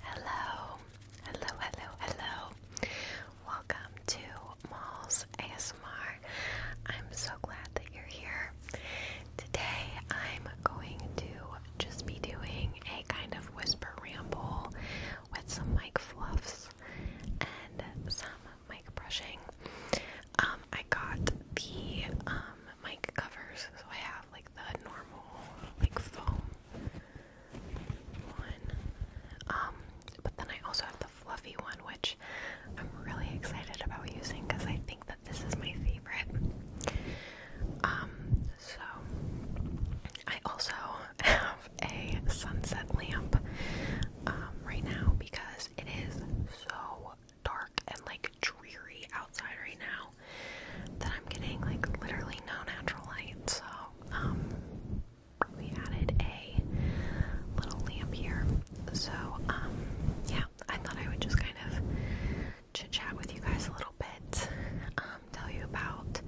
Hello, hello, hello, hello. Welcome to Malls ASMR. I'm so glad that you're here. Today I'm going to just be doing a kind of whisper ramble with some mic fluffs and some mic brushing. Um, I got the um, mic covers, so I have like the normal like foam one. Um, but then I also have the fluffy one, which I'm really excited about using because I think that this is my favorite. Um, so I also have a sunset lamp um, right now because it is so dark and like dreary outside right now that I'm getting like literally no natural light. So um, we added a little lamp here. So um, yeah, I thought I would just kind of chit chat with you guys a little bit, um, tell you about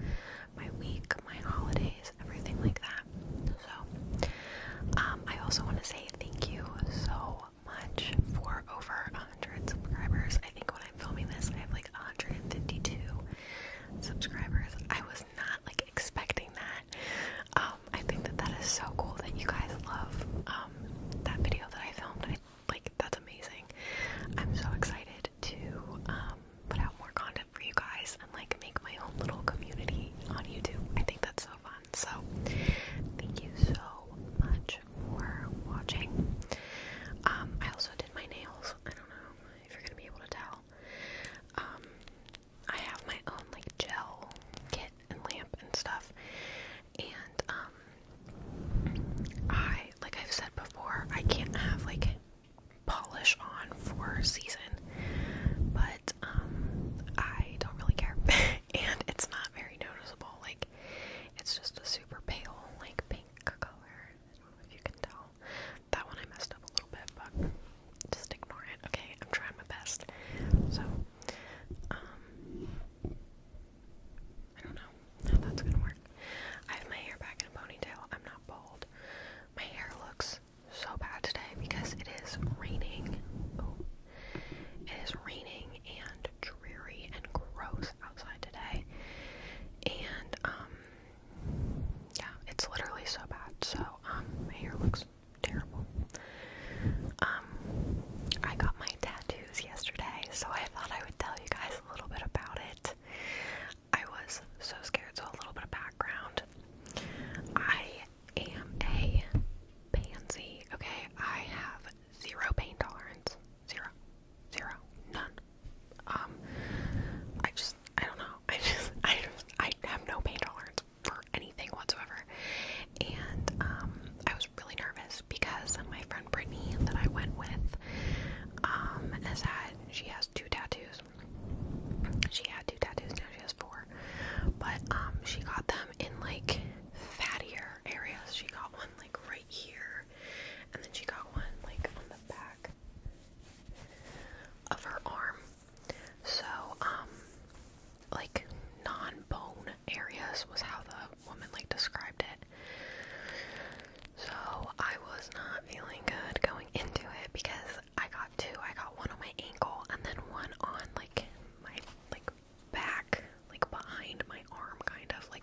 my week, my holidays, everything like that. So I also want to say thank you so much for over 100 subscribers. I think when I'm filming this, I have like 152 subscribers. I was not like expecting that. Um, I think that that is so cool that you guys love um, that video that I filmed. like that's amazing. I'm so excited to um, put out more content for you guys and like make my own little community on YouTube. I think that's so fun. So thank you so much much for watching. Um, I also did my nails. I don't know if you're gonna be able to tell. Um, I have my own like gel kit and lamp and stuff, and um, I like I've said before, I can't have like polish on for season, but I don't really care, and it's not very noticeable. Like it's just a super pale like pink color, I don't know if you can tell. That one I messed up a little bit, but just ignore it. Okay, I'm trying my best. So, um, I don't know how that's gonna work. I have my hair back in a ponytail. I'm not bald. My hair looks so bad today because it is raining. Oh, it is raining and dreary and gross outside today. And um, yeah, it's literally so bad. So um, my hair looks terrible. Um, I got my tattoos yesterday, so I thought I would tell you guys a little bit about it. I was so scared, so a little bit of background. I am a pansy, okay? I have zero pain tolerance. Zero. Zero. None. Um, I just, I don't know. I just, I just, I have no pain tolerance for anything whatsoever. And, um, I was really nervous because my friend Brittany that I went with, um, has had, she has two tattoos. She had two tattoos, now she has four. But, um, she got them in, like, fattier areas. She got one, like, right here, and then she got one like on the back of her arm. So, um, like non-bone areas was how the woman like described it. So I was not feeling good going into it because I got two. I got one on my ankle and then one on like my like back, like behind my arm, kind of like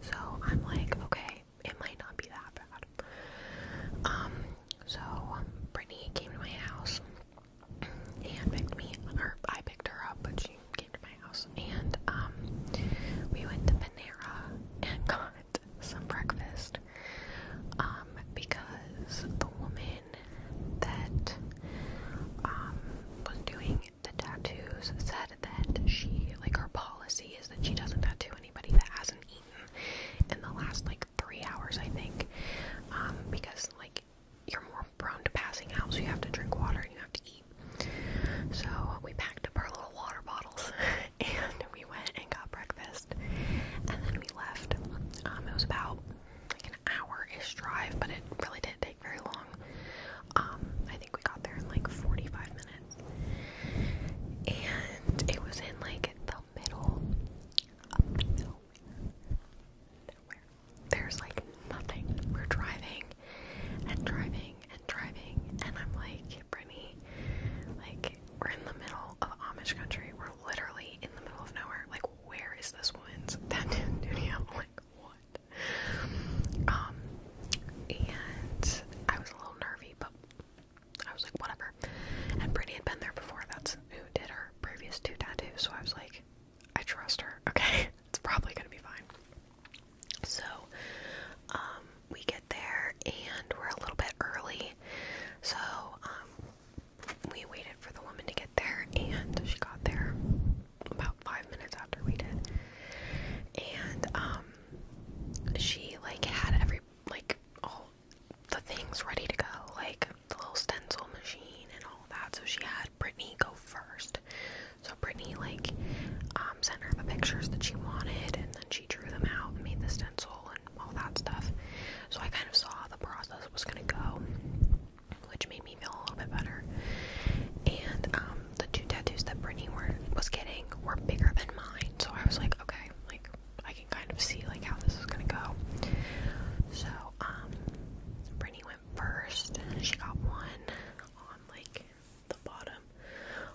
So I'm like, okay, it might not be that bad. Um, so um, Brittany came to my house and picked me, or I picked her up, but she came to my house, and um, we went to Panera and got some breakfast. Um, because the woman woman that um, was doing the tattoos said that she, like, her policy is that she doesn't tattoo anybody that hasn't eaten in the last, like, three hours, I think, um, because, like, you're more prone to passing out, so you have to drink water and you have to eat. So we packed up our little water bottles and we went and got breakfast and then we left. Um, it was about like an hour ish drive, but it really did very long. Um, I think we got there in like 45 minutes. And it was in like the middle There's like nothing. We're driving and driving and driving. And I'm like, Brittany, like, we're in the middle of Amish country. We're literally in the middle of nowhere. Like, where is this woman's tattoo studio? Like, what? Um, and I was a little nervy, but I was like, whatever. And Brittany had been there before. That's who did her previous two tattoos. So I was like, I trust her. Okay, it's probably gonna be fine. So, um, we get there and we're a little bit early. So, um, we wait for the woman to get there, and she got there about five minutes after we did. And um, she like had every like all the things ready to go, like the little stencil machine and all that. So she had Brittany go first. So Brittany like um, sent her the pictures that she wanted, and then she drew them out and made the stencil and all that stuff. So I kind of saw how the process was gonna go which made me feel a little bit better. And um, the two tattoos that Brittany was getting were bigger than mine, so I was like, okay, like I can kind of see like how this is gonna go. So um, Brittany went first. She got one on like the bottom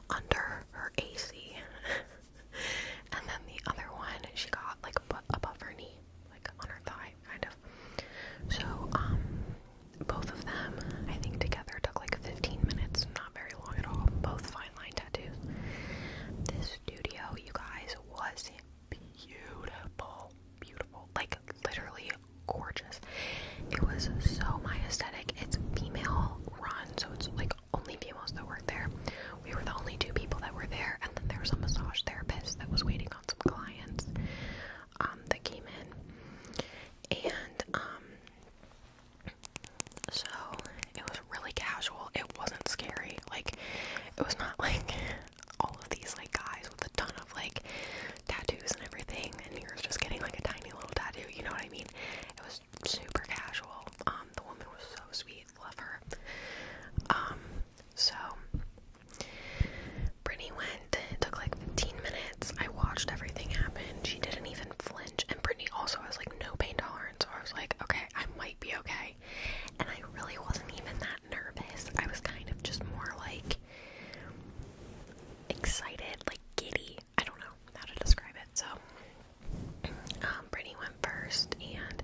under her AC, and then the other one she got like above her knee, like on her thigh kind of. So, um, both of them, I think together took like 15 minutes, not very long at all. Both fine line tattoos. This studio, you guys, was beautiful, beautiful, like literally gorgeous. It was so my aesthetic. It's female run, so it's like only females that work there. We were the only two people that were there, and then there was a massage therapist that was waiting out some clients um, that came in, and um, so it was really casual. It wasn't scary. Like it was not like all of these like guys with a ton of like tattoos and everything, and you're just getting like a tiny little tattoo. You know what I mean? It was super casual. Um, the woman was so sweet. Love her. Um, so Brittany went. It took like 15 minutes. I watched everything happen. She didn't even flinch. And Brittany also has like no pain tolerance. So I was like, okay, I might be okay. And I really wasn't even that nervous. I was kind of just more like excited, like giddy. I don't know how to describe it. So um, Brittany went first and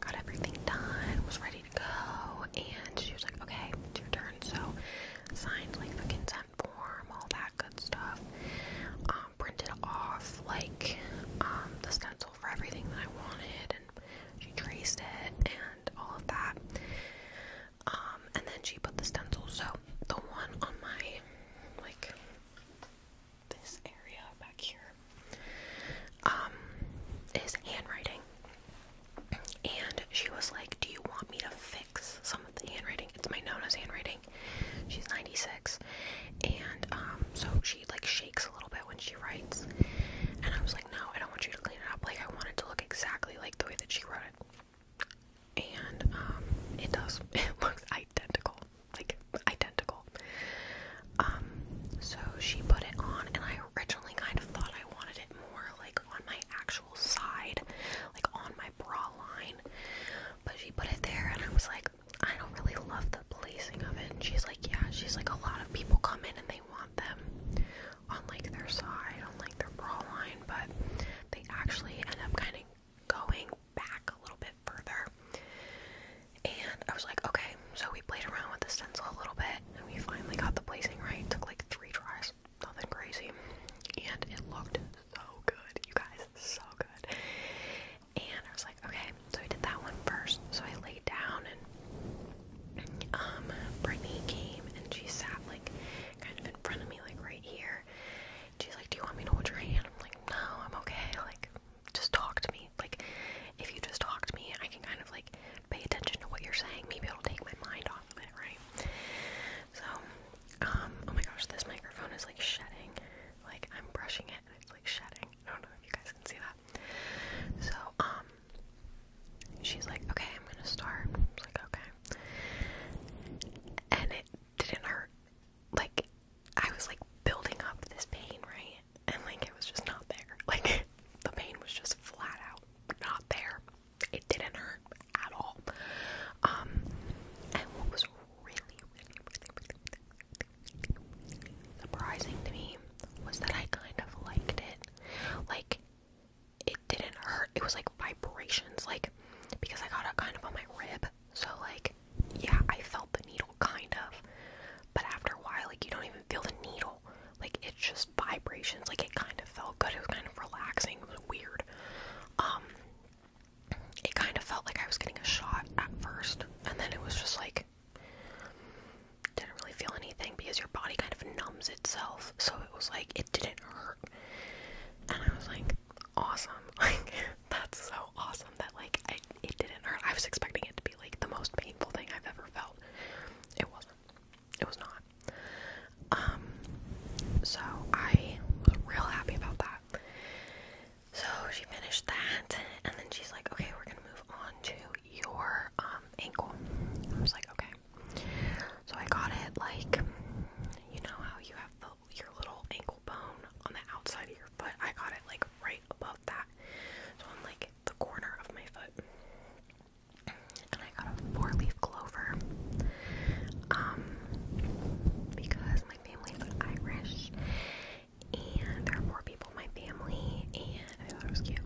got everything done. Was ready go, and she was like, okay, it's your turn, so signed, like, the consent form, all that good stuff, um, printed off, like, um, the stencil for everything that I wanted, and she traced it, and all of that, um, and then she put the stencil, so the one on my, like, this area back here is handwriting. And she was like, Do you want me to fix some of the handwriting? It's my Nona's handwriting. She's 96. And um, so she like shakes a little bit when she writes. And I was like, No, I don't want you to clean it up. Like, I want it to look exactly like the way that she wrote it. And um, it does. It looks identical. Like, identical. Um, so she put it on, and I originally kind of thought I wanted it more like on my actual side, like on my bra line. But she put it there, and I was like, I don't really love the placing of it. And she's like, Yeah, she's like, a lot of people come in and they want them on like their side, on like their bra line, but they actually end up kind of going back a little bit further. And I was like, okay, so we played around with the stencil a little bit and we finally got the placing right. took like three tries nothing crazy, and it looked so good, you guys, so good. And I was like, okay, so I did that one first. So I laid down, and um, Brittany came and she sat like kind of in front of me, like right here. She's like, do you want me to hold your hand? I'm like, no, I'm okay. Like, just talk to me. Like, if you just talk to me, I can kind of like pay attention to what you're saying. Maybe it'll take my mind off of it, right? So, um, oh my gosh, this microphone is like shedding. Like I'm brushing it and it's like shedding. I don't know if you guys can see that. So, um, she's like, okay, I'm gonna start. like, okay. And it didn't hurt. Like, I was like building up this pain, right? And like, it was just not there. Like, the pain was just flat out not there. It didn't hurt at all. Um, and what was really, really, really, really, surprising to me was that I kind of liked it. Like, it didn't hurt. It was like vibrations, like because I got it kind of on my rib. So like, yeah, I felt the needle kind of, but after a while, like you don't even feel the needle. Like it's just vibrations. Like it kind of felt good. It was kind of relaxing. It was weird. Um, it kind of felt like I was getting a shot at first and then it was just like didn't really feel anything because your body kind of numbs itself. So it was like it didn't hurt. And I was like, awesome. Like that's so awesome that like it didn't hurt. I was expecting it to be like the most painful thing I've ever felt. It wasn't. It was not. Um, so I was real happy about that. So she finished that, and then she's like, okay, we're gonna move on to your um, ankle. I was like, okay. So I got it like, you know how you have the, your little ankle bone on the outside of your foot? I got it like right above that. So I'm like the corner of my foot and I got a four-leaf clover um, because my family's Irish and there are four people in my family and I thought it was cute.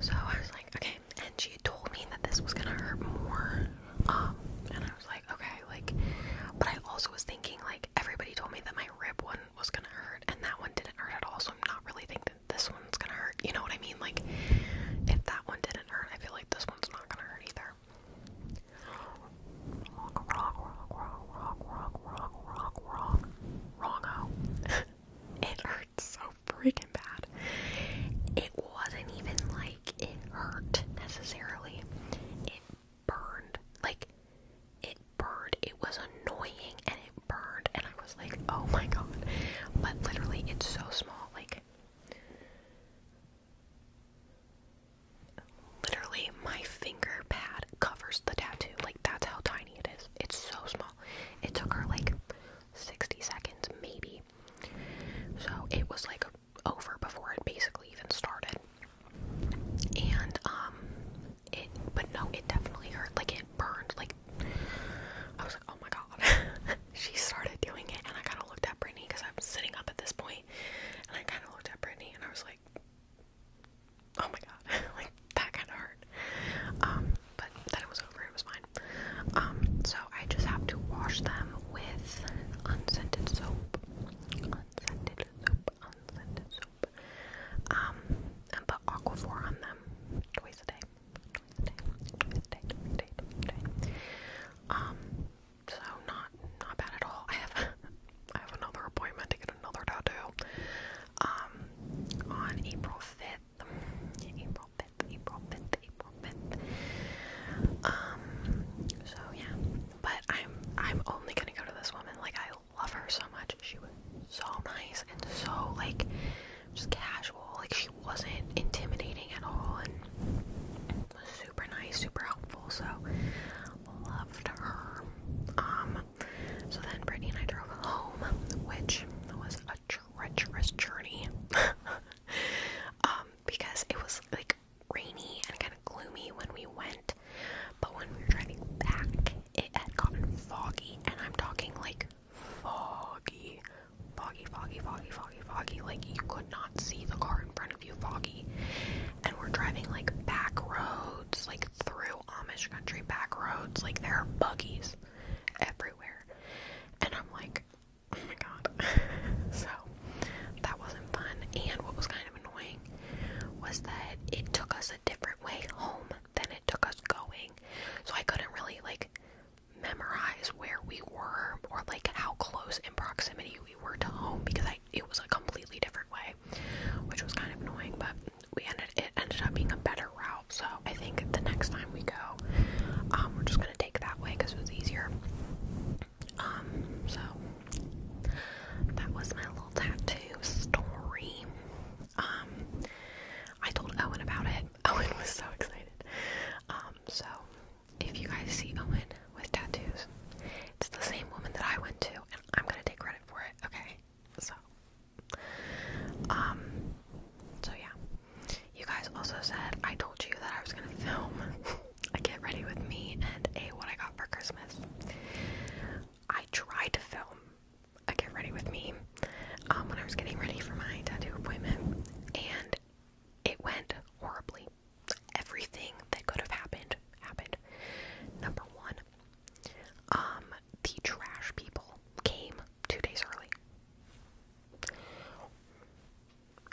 So I was like, okay, and she told me that this was gonna hurt more. Um, and I was like, okay, like, but I also was thinking, like, everybody told me that my rib one was gonna hurt, and that one didn't hurt at all, so I'm not really thinking this one's gonna hurt. You know what I mean? Like, if that one didn't hurt, I feel like this one's not gonna hurt either. Rock, rock, rock, rock, rock, rock, rock, rock, rock. Wrongo. it hurts so freaking bad. It wasn't even like it hurt necessarily. It burned. Like, it burned. It was annoying and it burned, and I was like, oh my god. But literally, it's so small. Like, literally, my finger pad covers the tattoo. Like, that's how tiny it is. It's so small. It took her like 60 seconds, maybe. So, it was like over before it basically even started. And, um, it, but no, it definitely hurt. Like, it burned. Like, I was like, oh my god. she started doing it, and I kind of looked at Brittany because I'm sitting up at this point, and I kind of looked at Brittany, and I was like, oh my god, like that kind of hurt. Um, but then it was over. It was fine. Um, so I just have to wash them with unscented soap, unscented soap, unscented soap. Um, and put Aquaphor on them twice a day. Um, so not not bad at all. I have I have another appointment to get another tattoo. Um, on April fifth, April fifth, April fifth, April fifth. Um, so yeah, but I'm I'm only gonna go to this woman. Like I love her so much. She was so nice and so like just casual. Like she wasn't intimidating at all and was super nice, super helpful. So loved her. Um, so then Brittany and I drove home, which was a treacherous journey. Um, because it was like rainy and kind of gloomy when we went, but when we were driving back, it had gotten foggy, and I'm talking like foggy, foggy, foggy, foggy, foggy, Like you could not see the car in front of you, foggy. And we're driving like back roads, like through Amish country back roads. Like there are buggies everywhere. And I'm like, oh my god. so that wasn't fun. And what was kind of annoying was that it took us a different way home than it took us going. So I couldn't really like memorize where we were or like how close in proximity we were to home because I it was a completely different way, which was kind of annoying, but we ended it ended up being a better route. So I think the next time we go, um, we're just gonna take that way because it was easier. Um, so that was my little tattoo story. Um, I told Owen about it Owen was so excited. Um, so if you guys see Owen with tattoos, it's the same woman that I went to, and I'm gonna take credit for it, okay? So, um, so yeah. You guys also said I told you that I was gonna film a get ready with me and a what I got for Christmas. I tried to film I get ready with me um, when I was getting ready for my tattoo appointment, and it went horribly. Everything that could have happened happened. Number one, um, the trash people came two days early.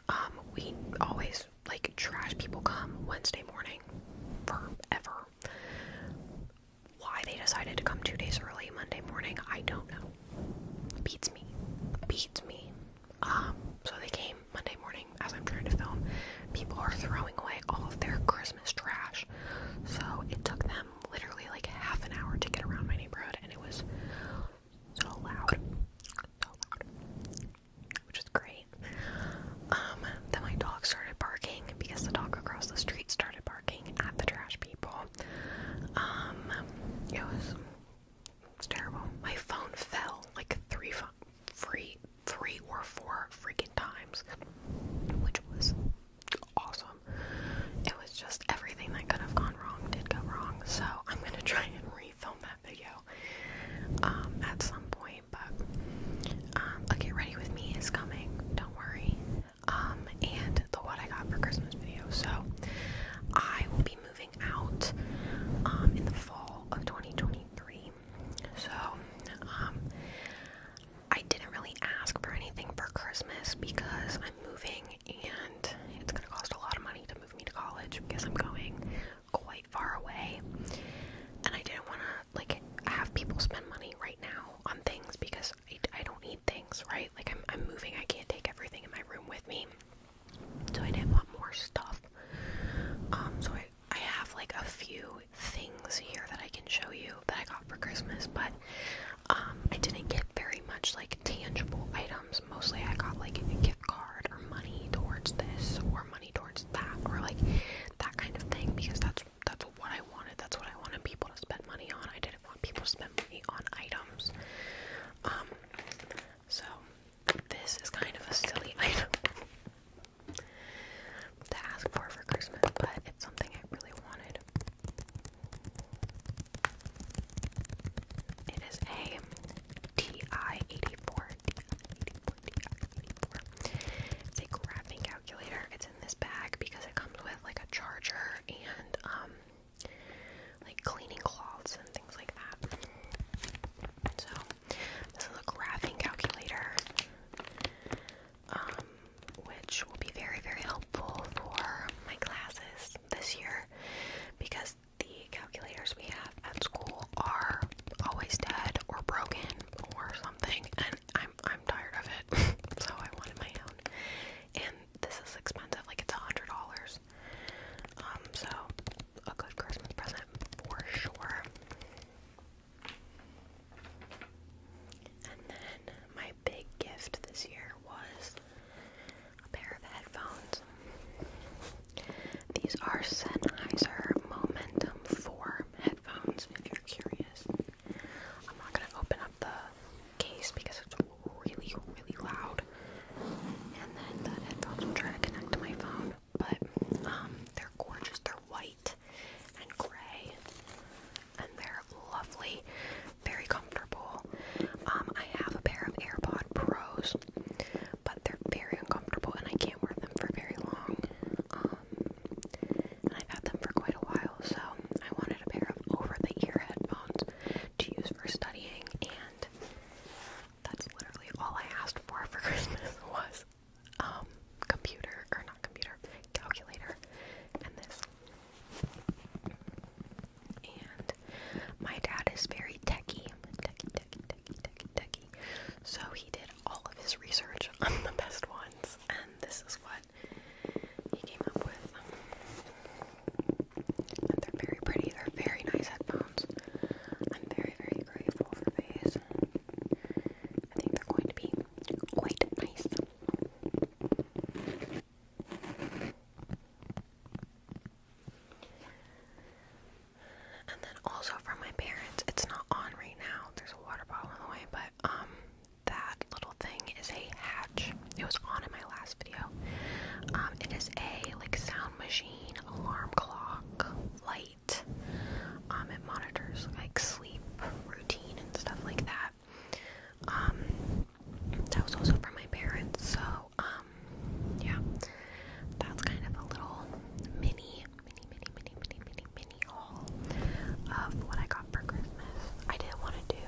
Um, we always like trash people come Wednesday morning forever. Why they decided to come two days early Monday morning, I don't know beats me, beats me. Um, so they came Monday morning as I'm trying to film. People are throwing away all of their Christmas trash, so it took them literally like half an hour to get around my neighborhood, and it was so loud, so loud, which is great. Um, then my dog started barking because the dog across the street started barking at the trash people. Um, it was terrible. My phone fell like three, three, three or four freaking times, which was awesome. It was just everything that could have gone wrong did go wrong. So I'm gonna try and refilm that video um, at some point. But um, okay, ready with me is coming. Don't worry um, and the what I got for Christmas video. So I will be moving out um, in the fall of 2023. So um, I didn't really ask for anything for Christmas because I'm moving and it's going to cost a lot of money to move me to college because I'm going quite far away and I didn't want to like have people spend money right now on things because I, I don't need things, right? Like I'm, I'm moving, I can't take everything in my room with me. So I didn't want more stuff. Um, so I, I have like a few things here that I can show you that I got for Christmas, but um, I didn't get very much like tangible items. Mostly I got like a gift card or money towards this or money towards that or like that kind of thing because that's that's what I wanted. That's what I wanted people to spend money on. I didn't people spend money on items. Um, so this is kind of a silly item to ask for for Christmas, but it's something I really wanted. It is a TI-84, It's a graphing calculator. It's in this bag because it comes with like a charger and um like cleaning cloths and things like that. So this is a graphing calculator, um, which will be very very helpful for my classes this year because the calculators we have at school are always dead or broken or something, and I'm I'm tired of it. so I wanted my own this is expensive, like it's a hundred dollars. Um, so a good Christmas present for sure. And then my big gift this year was a pair of headphones. These are Sennheiser Momentum 4 headphones, if you're curious. I'm not going to open up the case because it's really, really loud. And then the headphones will try to connect to my phone. But um, they're gorgeous. They're white and gray. And they're lovely. Very comfortable. Um, I have a pair of AirPod Pros, but they're very uncomfortable and I can't wear them for very long. Um, and I've had them for quite a while, so I wanted a pair of over the ear headphones to use for studying, and that's literally all I asked for for Christmas was um, computer, or not computer, calculator, and this. And my dad is very techie, techie, techie, techie, techie, techie. So he did all of his research on the best ones, and this is what he came up with they're very pretty. They're very nice headphones. I'm very, very grateful for these. I think they're going to be quite nice. And then also from my parents, it's not on right now. There's a water bottle in the way, but um that little thing is a hat patch. It was on in my last video. Um, it is a like sound machine, alarm clock, light. Um, it monitors like sleep routine and stuff like that. Um, that was also from my parents. So, um, yeah, that's kind of a little mini, mini, mini, mini, mini, mini, mini haul of what I got for Christmas. I didn't want to do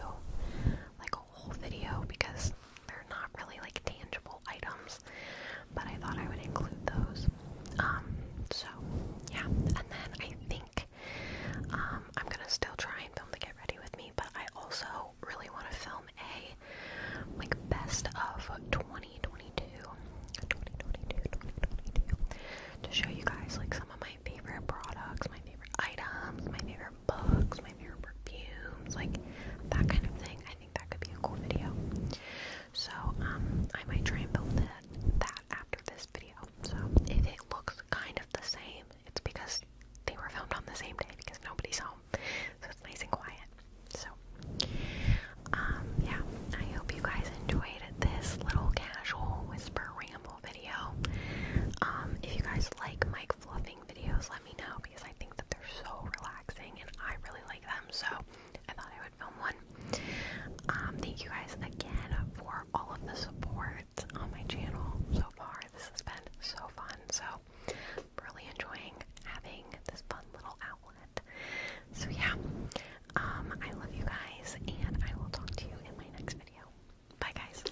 like whole video because they're not really like tangible items, but I thought I would include those. Um, so yeah, and then I think um, I'm gonna still try and film to Get Ready With Me, but I also really want to film a like best of 2022, 2022, 2022 to show you guys like some of my favorite products, my favorite items, my favorite books, my your perfumes, like that kind of thing. I think that could be a cool video. So um, I might try and build that after this video. So if it looks kind of the same, it's because they were filmed on the same day because nobody's home, so it's nice and quiet. So um, yeah, I hope you guys enjoyed this little casual whisper ramble video. Um, if you guys like Mike Fluffy videos, let me know because I think that they're so relaxing and I really like them. So I thought I would film one. Um, thank you guys again for all of the support on my channel so far. This has been so fun. So really enjoying having this fun little outlet. So yeah, um, I love you guys and I will talk to you in my next video. Bye guys.